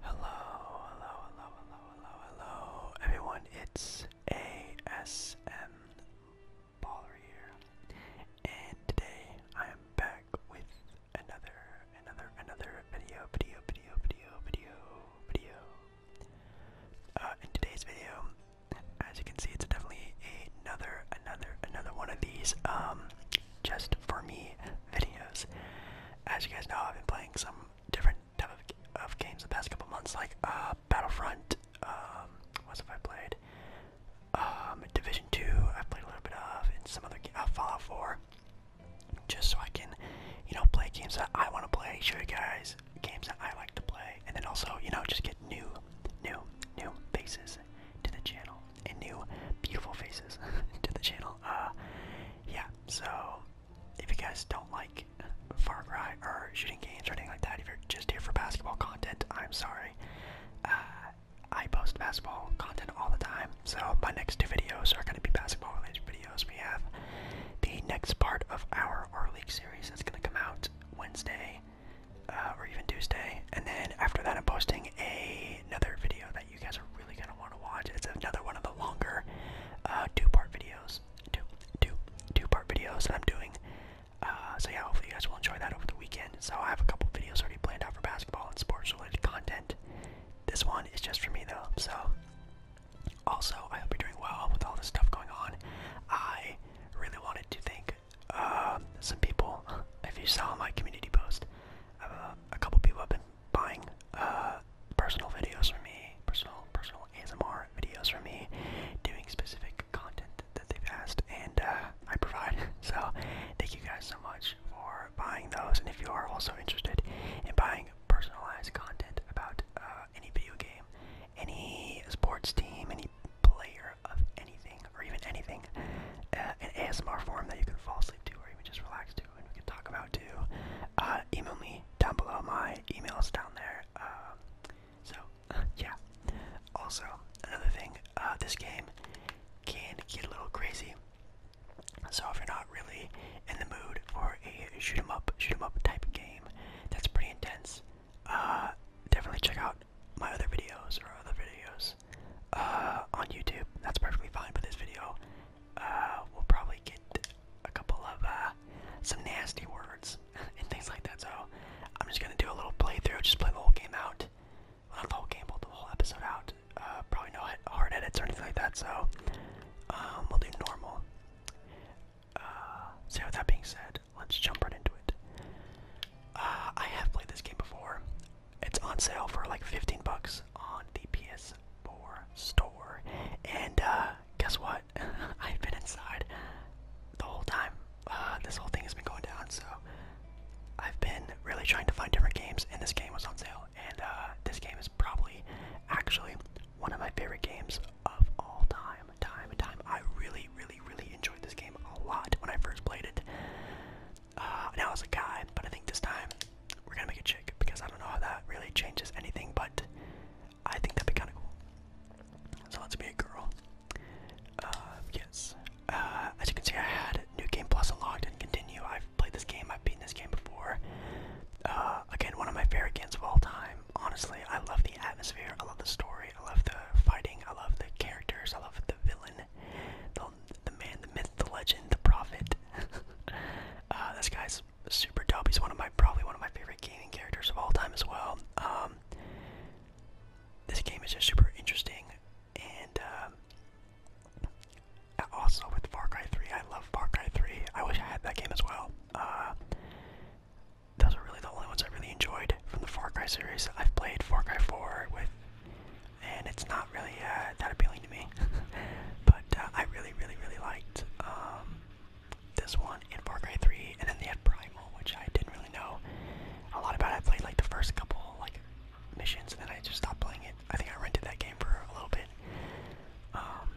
Hello, hello, hello, hello, hello, hello, everyone. It's ASM Baller here, and today I am back with another, another, another video, video, video, video, video, video. Uh, in today's video, as you can see, it's definitely another, another, another one of these. Um, just for me videos. As you guys know, I've been playing some different type of, games the past couple months, like uh, Battlefront. Um, what have I played? Um, Division Two. I've played a little bit of, and some other uh, Fallout Four. Just so I can, you know, play games that I want to play. Show you guys games that I like to play, and then also, you know, just get new, new, new faces to the channel and new beautiful faces to the channel. Uh, yeah, so if you guys don't like Far Cry or shooting games or anything like that, if you're just here for basketball content, I'm sorry. Uh, I post basketball content all the time, so my next two videos are going to be basketball related videos. We have the next part of our our league series that's going to come out Wednesday uh, or even Tuesday, and then after that, I'm posting another video that you guys are really gonna want to watch. It's another one of the longer uh, two-part videos, two, two, two-part videos I'm doing. Uh, so yeah, hopefully you guys will enjoy that over the weekend. So I have a couple videos already planned out for basketball and sports-related content. This one is just for me though. So also, I hope you're doing well with all this stuff going on. I really wanted to thank uh, some people. If you saw my community post, a couple people have been buying uh, personal videos from me, personal personal ASMR videos from me, doing specific content that they've asked, and uh, I provide. So thank you guys so much for buying those. And if you are also interested in buying personalized content about uh, any video game, any sports team, any player of anything, or even anything, uh, an ASMR form that you can fall asleep to, or even just relax to and we can talk about too. Uh, email me down below. My email's down there. Um, so yeah. Also, another thing, uh, this game can get a little crazy. So if you're not really in the mood for a shoot 'em up, shoot 'em up type game, that's pretty intense. Uh, definitely check out my other videos or other videos uh, on YouTube. That's perfectly fine for this video. Uh, will probably get a couple of uh, some nasty words and things like that. So I'm just gonna do a little playthrough, just play the whole game out. Well, not the whole game, but the whole episode out. Uh, probably no hard edits or anything like that. So um, we'll do normal. so with that being said, let's jump right into it. I have played this game before it's on sale for like 15 bucks on the PS4 store. And uh, guess what? I've been inside the whole time. Uh, this whole thing has been going down, so I've been really trying to find different games, and this game was on sale. And uh, this game is probably actually one of my favorite games of all time, time time. I really, really, really enjoyed this game a lot when I first played it. Uh, now it's a guy, but I think this time we're gonna make a chick because I don't know how that really changes anything, but I think that'd be kind of cool. So let's be a girl. Uh, yes. Uh, as you can see, I had New Game Plus unlocked and continue. I've played this game, I've beaten this game before. Uh, again, one of my favorite games of all time. Honestly, I love the atmosphere, I love the story, I love the fighting, I love the characters, I love the villain, um, the man, the myth, the legend, the prophet. Uh, this guy's super dope. He's one of my probably one of my favorite gaming characters of all time as well. Um, this game is just super interesting, and um, also with Far Cry 3, I love Far Cry 3. I wish I had that game as well. Uh, those are really the only ones I really enjoyed from the Far Cry series. I've played Far Cry 4 with and it's not really uh, that appealing to me. but uh, I really, really, really liked um, this one in Far Cry 3, and then they had Primal, which I didn't really know a lot about. I played like the first couple like missions, and then I just stopped playing it. I think I rented that game for a little bit. Um,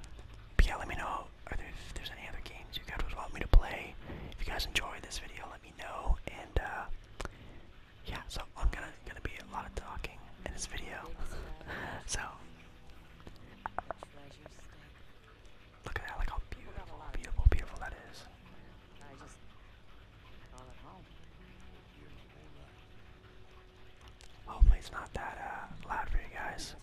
yeah, let me know if there's any other games you guys would want me to play. If you guys enjoyed this video, let me know, and uh, yeah, so I'm gonna gonna be a lot of talking in this video. so look at that, like how beautiful, beautiful, beautiful that is. Hopefully it's not that uh, loud for you guys.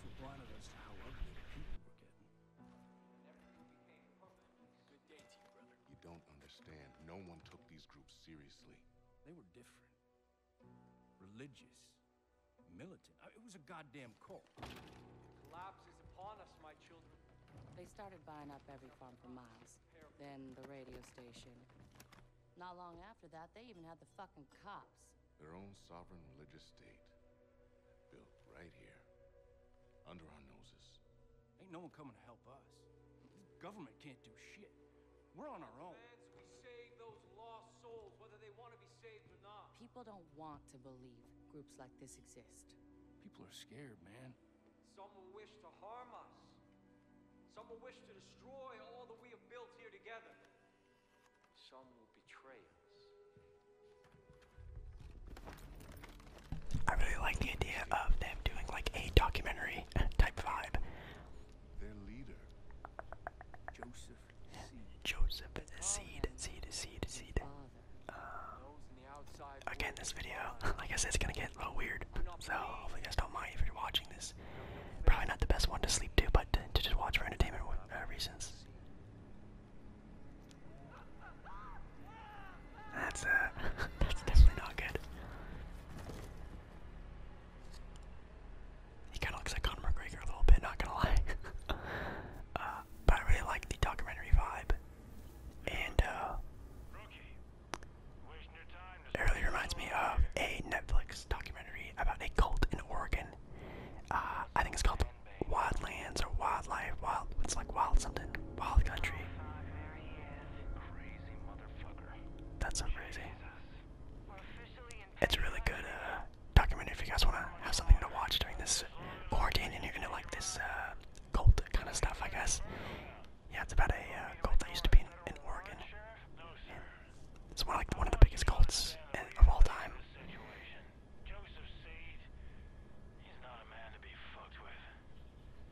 You don't understand. No one took these groups seriously. They were different. Religious. Militant. it was a goddamn cult. Collapse is upon us, my children. They started buying up every farm for miles. Then the radio station. Not long after that, they even had the fucking cops. Their own sovereign religious state. Built right here. Under our noses. Ain't no one coming to help us. The government can't do shit. We're on our own. People don't want to believe groups like this exist. People are scared, man. Some will wish to harm us. Some will wish to destroy all that we have built here together. Some will betray us. I really like the idea of them doing like a documentary type vibe their leader, Joseph Seed. Joseph Seed, Seed, Seed, Seed. Um, again, this video, I guess it's gonna get a little weird. So hopefully, you guys don't mind if you're watching this. Probably not the best one to sleep to, but to, just watch for entertainment uh, reasons. That's uh, that's definitely not good. He kind of looks like Conor McGregor a little bit, not gonna lie. Uh, but I really like the documentary vibe, and uh, it really reminds me of a Netflix documentary about a cult in Oregon. Uh, I think it's called Wildlands or Wildlife. Wild, it's like wild something, wild country. That's so crazy. It's a really good uh, documentary if you guys want to have something to watch during this quarantine and you're gonna like this uh, cult kind of stuff, I guess. Yeah, it's about a uh, cult that used to be in, Oregon. it's one of, the biggest cults of all time.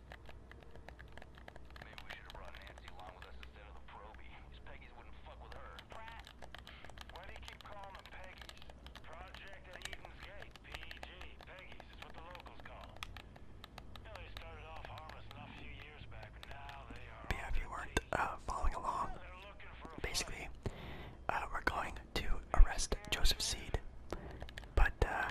we should have brought Nancy along with us instead of the Proby. These Peggy's wouldn't fuck with her. Pratt! Why do you keep calling them Peggy's? Project at Eden's Gate, Peggy's. It's what the locals call them. they started if you weren't uh, following along, basically, uh, we're going to arrest Joseph Seed. But, uh,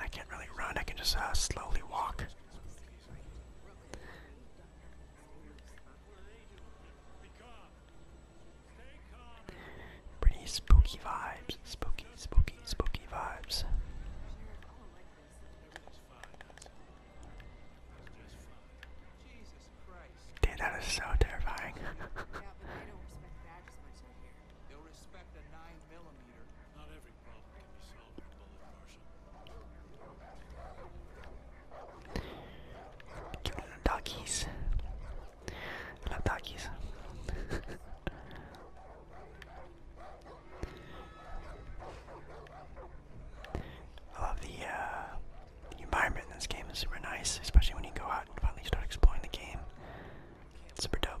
I can't really run, I can just uh, slowly walk. Pretty spooky vibes, spooky, spooky, spooky vibes. Dude, that is so terrifying. Peter. Not doggies. I love doggies. I love the, uh, the environment in this game is super nice, especially when you go out and finally start exploring the game. It's super dope.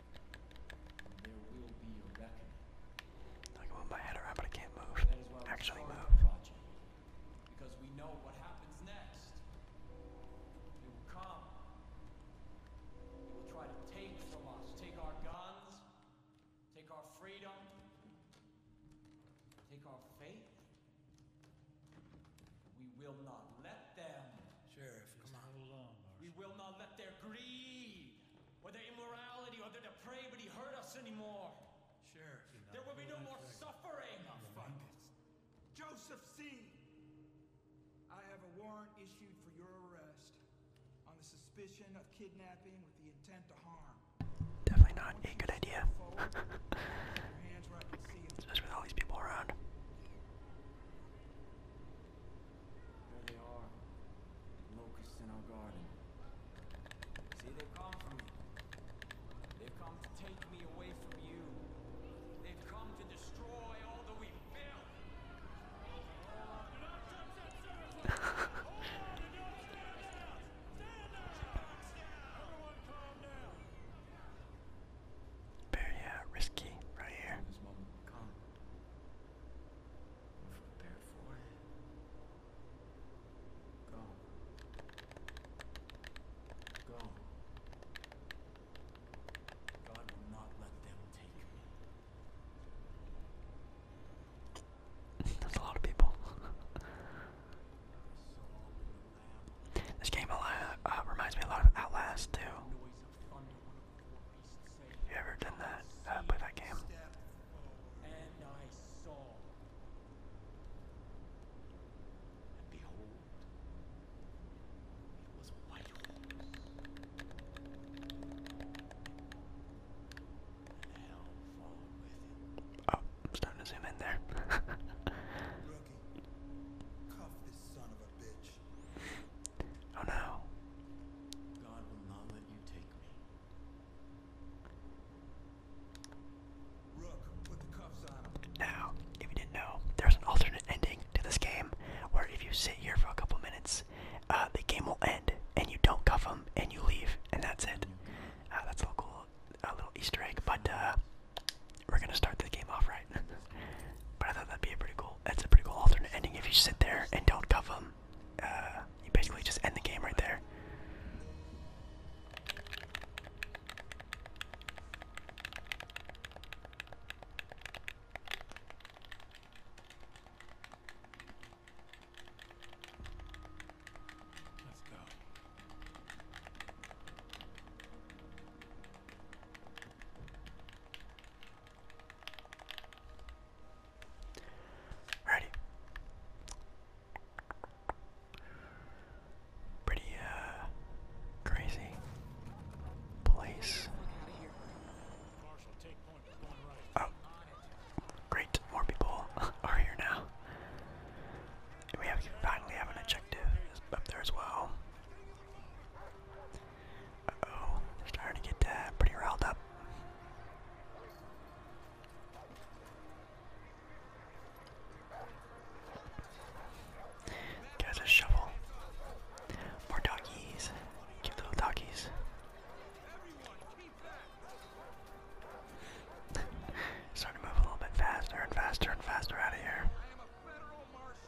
There will be a reckoning. I can move my head around, but I can't move. Actually, move. because we know what happens next. It will come. It will try to take from us, take our guns, take our freedom, take our faith. We will not let them. Sheriff, come on. Hold We will not let their greed, or their immorality, or their depravity hurt us anymore. Sheriff, there will be no more second. suffering. Abundance. Joseph C. I have a warrant issued for your arrest on the suspicion of kidnapping with the intent to harm. Definitely not a good idea. Especially with all these people around. There they are. Locusts in our garden. See, they've come for me. They've come to take me away from you. They've come to destroy all that we've built. Very uh, risky right here. This That's a lot of people. This game uh, uh, reminds me a lot of Outlast too. You ever done that? Uh, play that game? I Oh, I'm starting to zoom in there. Oh no. God will not let you take me. Now, if you didn't know, there's an alternate ending to this game where if you sit here for a couple minutes, uh, the game will end and you don't cuff them and you leave and that's it. Uh, that's a little cool, a little Easter egg, but uh, we're gonna start the game off right. but I thought that'd be a pretty cool. That's a pretty cool alternate ending. If you sit there and don't cuff them, uh, you basically just end the game right there. Let's go. Alrighty. Pretty uh crazy place. Oh, great! More people are here now. we have finally have an objective up there as well oh starting to get uh, pretty riled up. Guys, a shovel. More doggies. Cute little doggies. Starting to move a little bit faster and faster and faster out of here.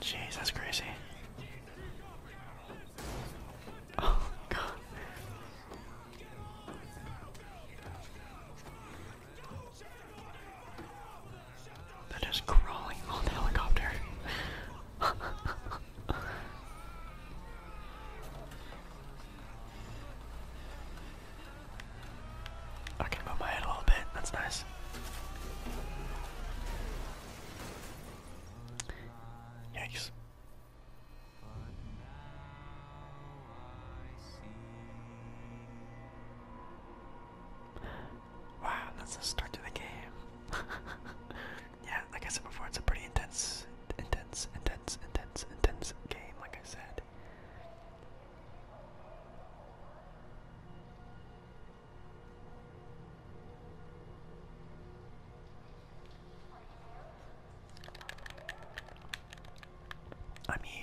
Jeez, that's crazy. Oh god. they crawling on the helicopter. I can move my head a little bit, that's nice. Yikes. Wow, that's the start to the game. yeah, like I said before, it's a pretty intense, intense, intense, intense, intense game, like I said. I'm here.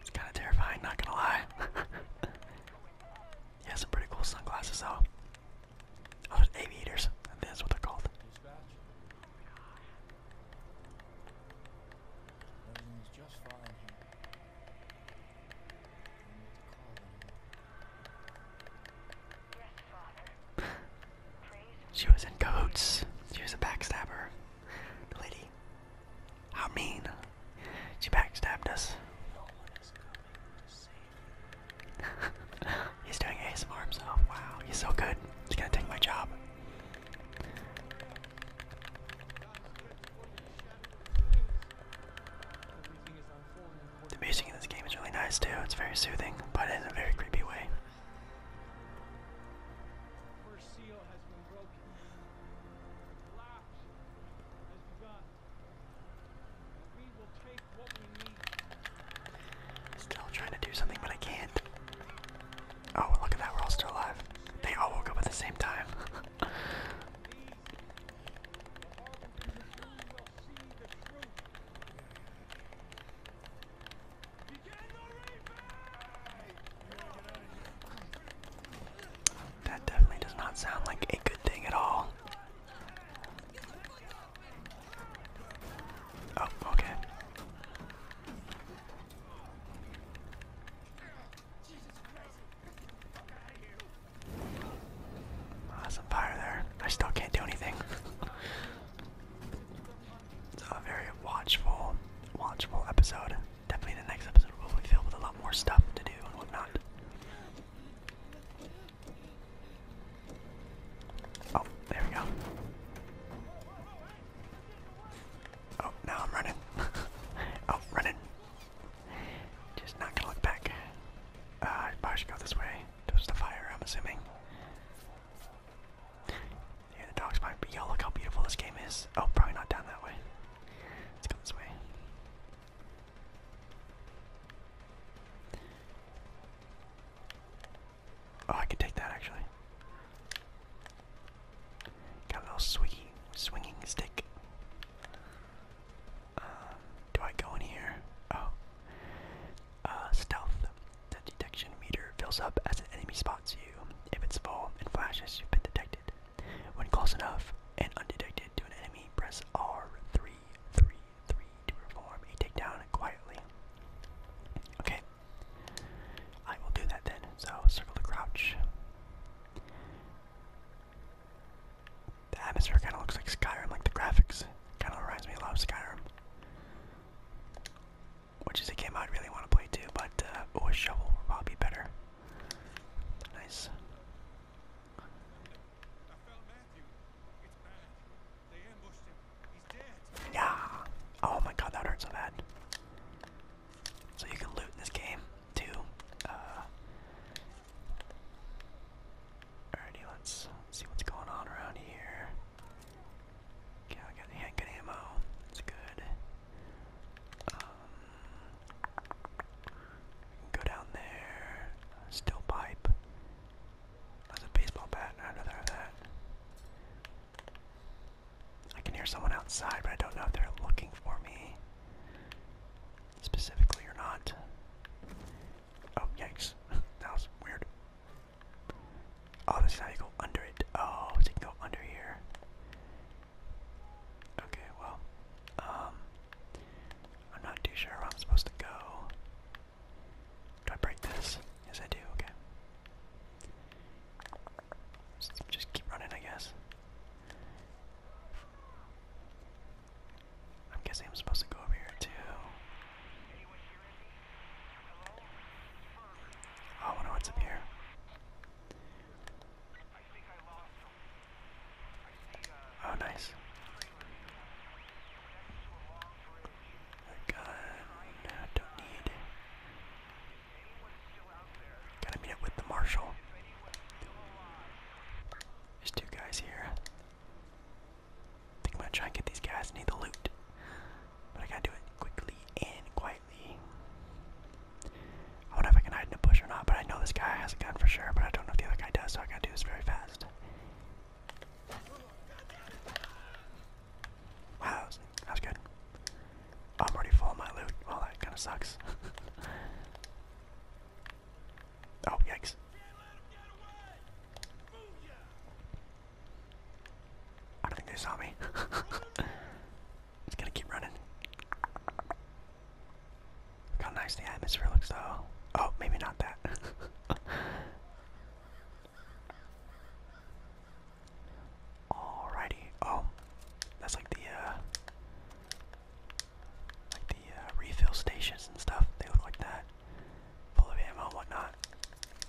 It's kind of terrifying, not gonna lie. he has some pretty cool sunglasses though. Oh, aviators. That's what they're called. she was in cahoots. She was a backstabber. The lady. How mean. She backstabbed us. He's doing ASMR himself. Wow, he's so good. He's gonna take my job. The music in this game is really nice too. It's very soothing, but in a very creepy way. Still trying to do something, but I can't. Oh, look at that, we're all still alive. They all woke up at the same time. That definitely does not sound like a good thing at all. Oh, okay. Oh, fire there. I still can't do anything. It's a very watchful, watchful episode. Definitely the next episode will be filled with a lot more stuff to do and whatnot. Oh, there we go. Oh, now I'm running. oh, running. Just not gonna look back. Uh, I this way. Towards the fire, I'm assuming. Yeah, look how beautiful this game is. Oh, probably not down that way. Let's go this way. Oh, I could take that actually. Got a little swinging, swinging stick. Um, do I go in here? Oh, uh, stealth. The detection meter fills up as an enemy spots you. If it's full and flashes, you've been detected. When close enough and undetected to an enemy, press R333 to perform a takedown quietly. Okay. I will do that then. So circle the crouch. The atmosphere kinda looks like Skyrim, like the graphics. Kinda reminds me a lot of Skyrim which is a game I'd really want to play too, but uh, oh, a shovel would probably be better. Nice. Yeah. Oh my god, that hurts so bad. So you can loot in this game too. Uh, alrighty, let's see what's going on around here. Yeah, I got yeah, good ammo. It's good. Um, go down there. Still pipe. That's a baseball bat. I'd that. I can hear someone outside, but I don't know if they're looking for me specifically or not. Oh, yikes. that was weird. Oh, this is how you go under it. Oh, so you go under here. Okay, well, um, I'm not too sure where I'm supposed to go. Do I break this? Yes, I do. Okay. let just keep running, I guess. I'm guessing I'm supposed to go over here too. Oh, I wonder what's up here. Oh, nice. A gun. don't need. Gotta meet up with the marshal. There's two guys here. I think I'm gonna try and get these guys. and need the loot. But I gotta do it quickly and quietly slightly. I wonder if I can hide in a bush or not, but I know this guy has a gun for sure, but I don't know if the other guy does, so I gotta do this very fast. Wow, that was, good. Oh, I'm already full of my loot. Well, that kinda sucks. oh, yikes. I don't think they saw me. Just gotta keep running. how nice the atmosphere looks, though. Oh, maybe not that. Alrighty. Oh, that's like the uh, like the uh, refill stations and stuff. They look like that, full of ammo and whatnot.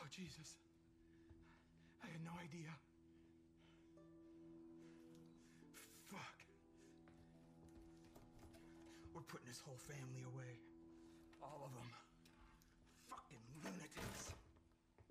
Oh, Jesus. I had no idea. Fuck. We're putting this whole family away. All of them. Fucking lunatics.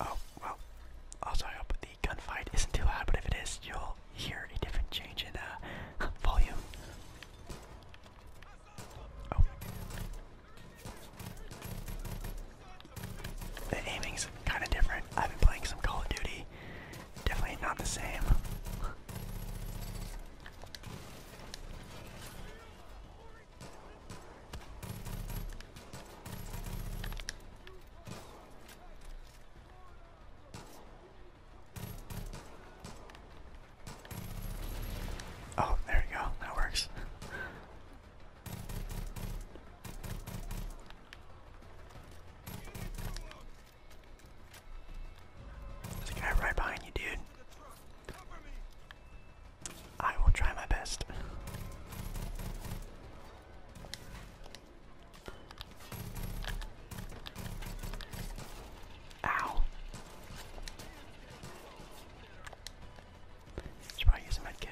Oh, well. Also, I hope the gunfight isn't too loud, but if it is, you'll hear a different change in uh, volume. Oh. The aiming's kind of different. I've been playing some Call of Duty Definitely not the same. Oh, there we go. That works. There's a guy right behind you, dude. I will try my best. Ow. Should probably use a medkit.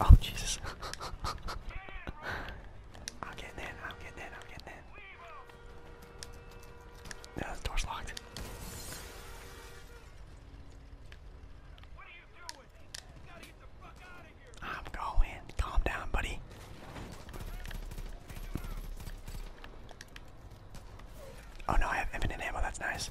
Oh Jesus. I'm getting in, I'm getting in, I'm getting in. No, the door's locked. I'm going. Calm down, buddy. Oh no, I have infinite ammo, that's nice.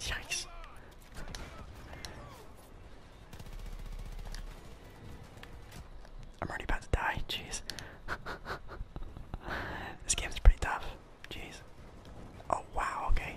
Yikes. I'm already about to die, jeez. this game's pretty tough. Jeez. Oh wow, okay.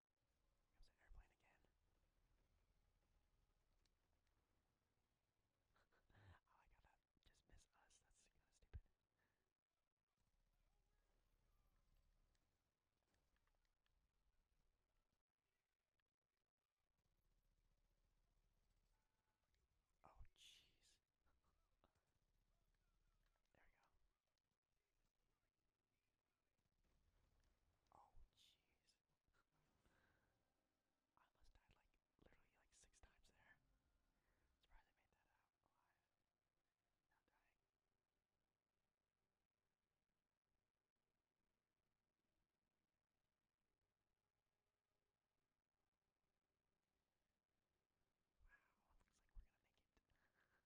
Comes an airplane again. oh, I gotta just miss us. That's kind of stupid. Oh, jeez. there we go. Oh jeez. I almost died like literally like six times there. Surprised I made that out alive. Not dying. Wow, looks like we're gonna make it.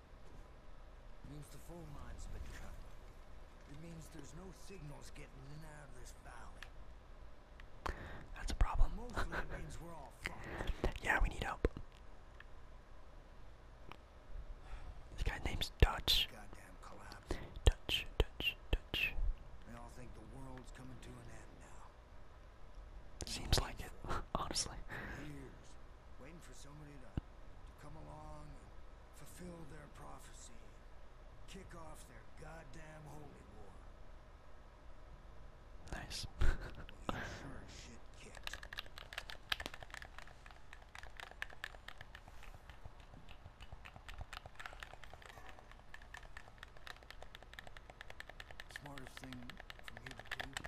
Means the phone line's been cut. It means there's no signals getting in and out of this valley. That's a problem. Mostly it means we're all fucked. Yeah, we need help. This guy's name's Dutch. Goddamn collapse. Dutch, Dutch, Dutch. They all think the world's coming to an end now. Seems like it, honestly. Years waiting for somebody to, come along and fulfill their prophecy, kick off their goddamn holy war. Nice. Smartest thing for me to do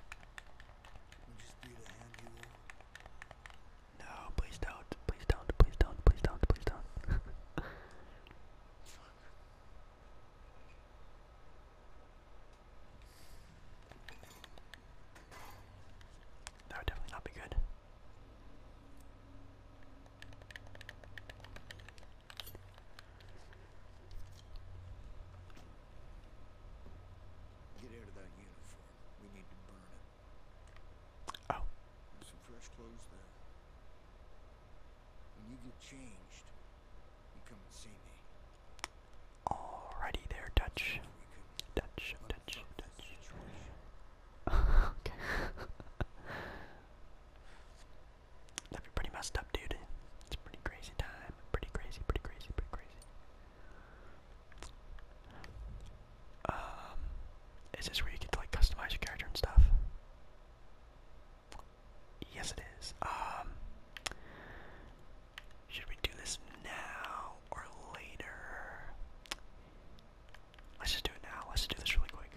No, please don't. Please don't. Please don't. Please don't. Please don't. That would definitely not be good. Get out of that uniform. We need to burn it. Oh. some fresh clothes there. When you get changed, you come and see me. Alrighty there, Dutch. Dutch, Dutch, Dutch. okay. going pretty messed up, dude. It's a pretty crazy time. Pretty crazy, pretty crazy, pretty crazy. Um, is this where you get to like customize your character and stuff? Yes, it is. Um, should we do this now or later? Let's just do it now. Let's just do this really quick.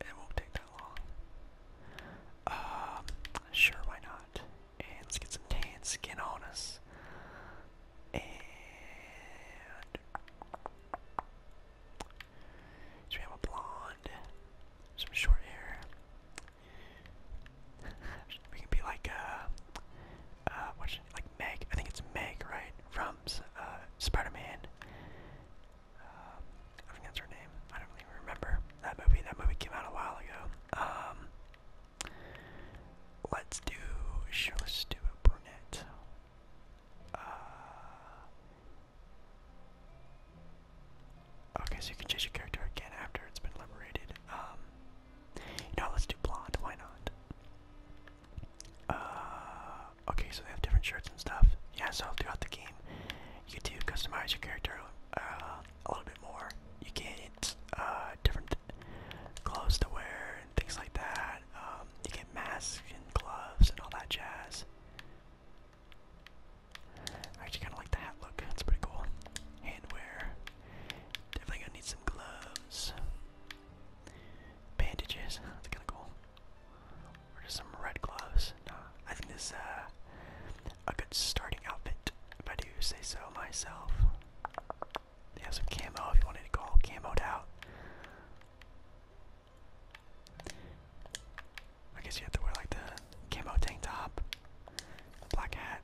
It won't take that long. Um, sure, why not? And let's get some tan skin on us. And so we have a blonde, some short hair. we can be like uh, uh, what's like Meg? I think it's Meg, right? From uh, Spider-Man. Um, I think that's her name. I don't even remember that movie. That movie came out a while ago. Um, Let's do. Sure, let a brunette. Uh, okay, so you can change your character again after it's been liberated. Um, you know, let's do blonde. Why not? Uh, okay, so they have different shirts and stuff. Yeah, so throughout the game, you do customize your character. Uh, a little bit more. You get uh, different clothes to wear and things like that. Um, you get masks and gloves and all that jazz. I actually kind of like the hat look. That's pretty cool. Handwear. Definitely gonna need some gloves. Bandages. That's kind of cool. Or just some red gloves. I think this uh, a good starting outfit, if I do say so myself. They have some camo if you wanted to go all camoed out. I guess you have to wear like the camo tank top, black hat.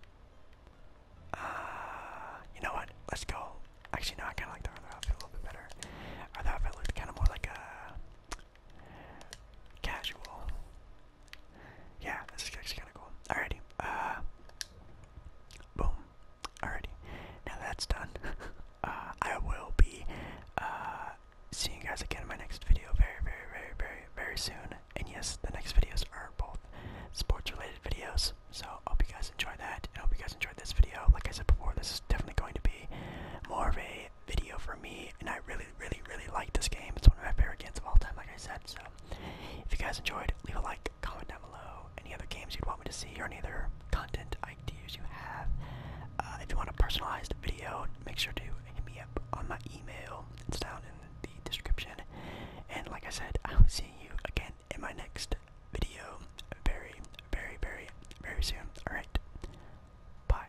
Uh, you know what? Let's go. Actually, no, I kind of like the other outfit a little bit better. Other outfit looked kind of more like a casual yeah, this is actually kind of cool. Alrighty, uh, boom. Alrighty, now that's done. Uh, I will be uh, seeing you guys again in my next video very, very, very, very, very soon. And yes, the next videos are both sports-related videos. So I hope you guys enjoy that. I hope you guys enjoyed this video. Like I said before, this is definitely going to be more of a video for me, and I really really, really, really like this game. It's one of my favorite games of all time, like I said. So, if you guys enjoyed, leave a like, comment down below. Any other games you'd want me to see, or any other content ideas you have. Uh, if you want a personalized video, make sure to hit me up on my email. It's down in the description. And like I said, I will see you again in my next video very, very, very, very soon. Alright. Bye.